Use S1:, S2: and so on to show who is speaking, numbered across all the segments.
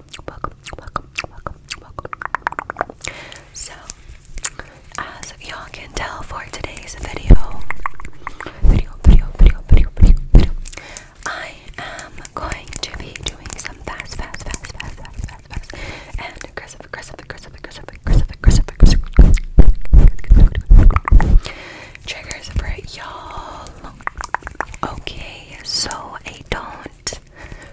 S1: welcome, welcome, welcome, welcome. So, as y'all can tell for today's video, video, video, video, video, video, video, I am going to be doing some fast, fast, fast, fast, fast, fast, fast, and aggressive, aggressive, aggressive, aggressive, aggressive, aggressive, aggressive, aggressive triggers for y'all. Okay, so I don't not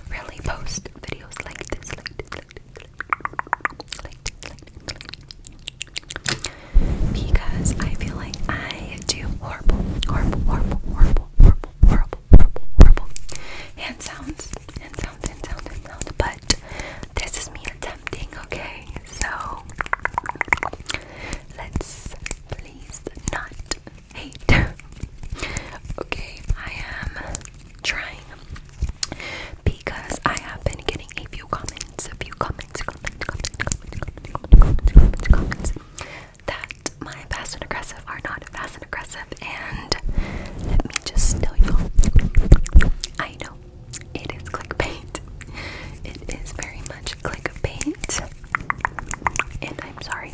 S1: really post videos like this, like this, like this, like this, like this, like this. Because I feel like I do horrible, horrible, horrible, horrible, horrible, horrible, horrible, horrible hand sounds, hand sounds, hand sounds, hand sounds. But this is me attempting, okay? So let's please not hate, hate. okay, I am trying because I have been getting a few comments, a few comments, comments, comments, comments, comments, comments, comments, comments that my fast and aggressive are not fast and aggressive. And let me just tell y'all, I know it is clickbait. It is very much clickbait. And I'm sorry,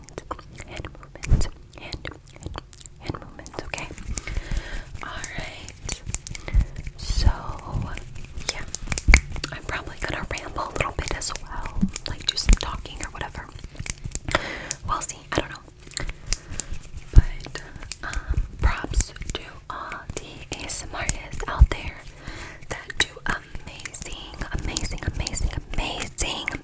S1: movements, hand movements, hand, hand, hand movements, okay? Alright. So, yeah. I'm probably gonna ramble a little bit as well, like do some talking or whatever. We'll see, I don't know. But, um, props to all the ASMRists out there that do amazing, amazing, amazing, amazing,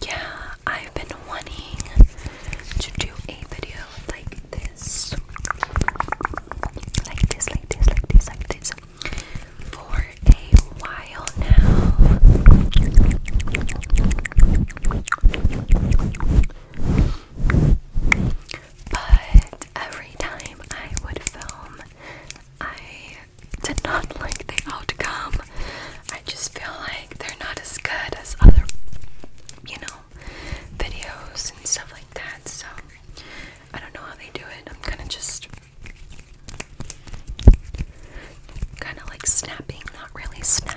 S1: yeah, I've been wanting to do a video Like this, like this, like this, like this. For a while now. But every time I would film, I did not like the outcome. I just feel like they're not as good as other, you know, videos and stuff like that. So I don't know how they do it. I'm kind of just kind of like snapping, not really snapping.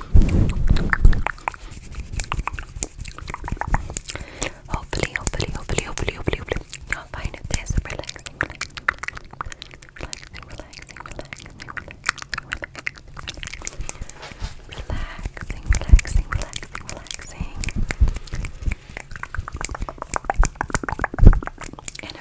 S1: Hopefully, hopefully, hopefully, hopefully, hopefully, hopefully, you'll find this relaxing, relaxing, relaxing, relaxing, relaxing, relaxing, relaxing, relaxing, relaxing, relaxing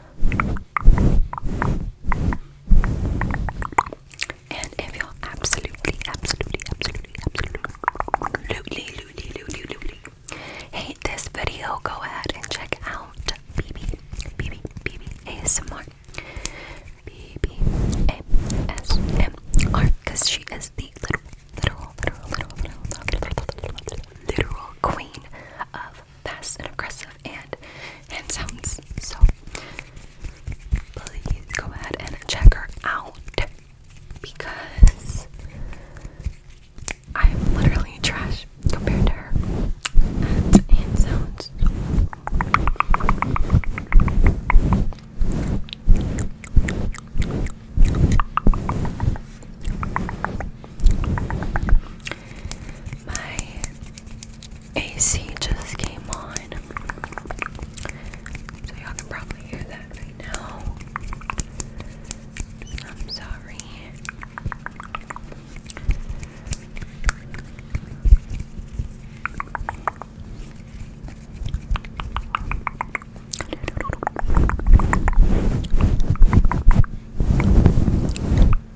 S1: And if you're absolutely, absolutely, absolutely, absolutely, absolutely, absolutely, absolutely hate this video, go ahead and check out BB, BB, BB ASMR, BB ASMR, because she is the literal, literal, literal, literal, literal, literal, literal queen of fast and aggressive and hand sounds. So please go ahead and check her out because I am literally trash compared to her at sounds. My AC just came on, so y'all can probably hear that right I'm sorry.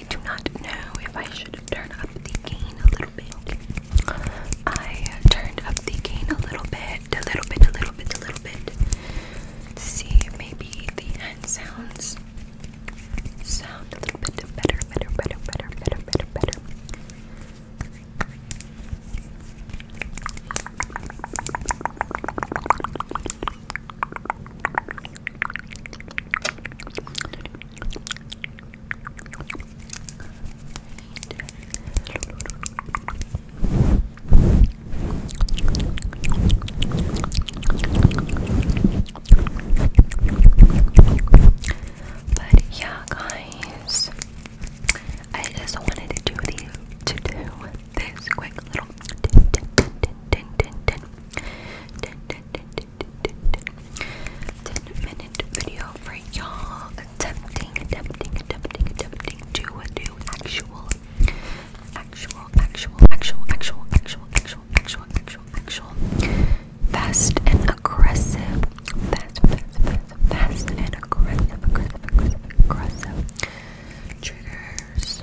S1: I do not know if I should turn up the gain a little bit. I turned up the gain a little bit, a little bit, a little bit, a little bit. To see maybe the end sounds sound a little bit better, better, better, better, better, better, better. But yeah, guys, I just wanted to do this quick little. Din, 10 minute video for y'all attempting, attempting, attempting, attempting to do actual, actual, actual, actual, actual, actual, actual, actual, actual, actual, fast and aggressive, fast, fast, fast, fast and aggressive, aggressive, aggressive, aggressive triggers.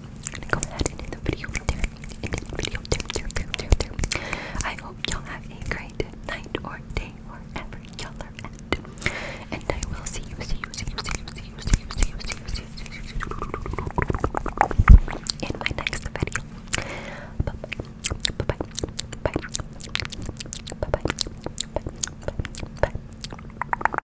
S1: i go ahead and end the video there. End the video there, there, there, there, I hope y'all have a great night or day wherever y'all are at. And I will see you, see you, see you, see you, see you, see you, see you, see you, see you, see you, see you in my next video. Bye bye, bye bye, bye bye, bye bye, bye bye.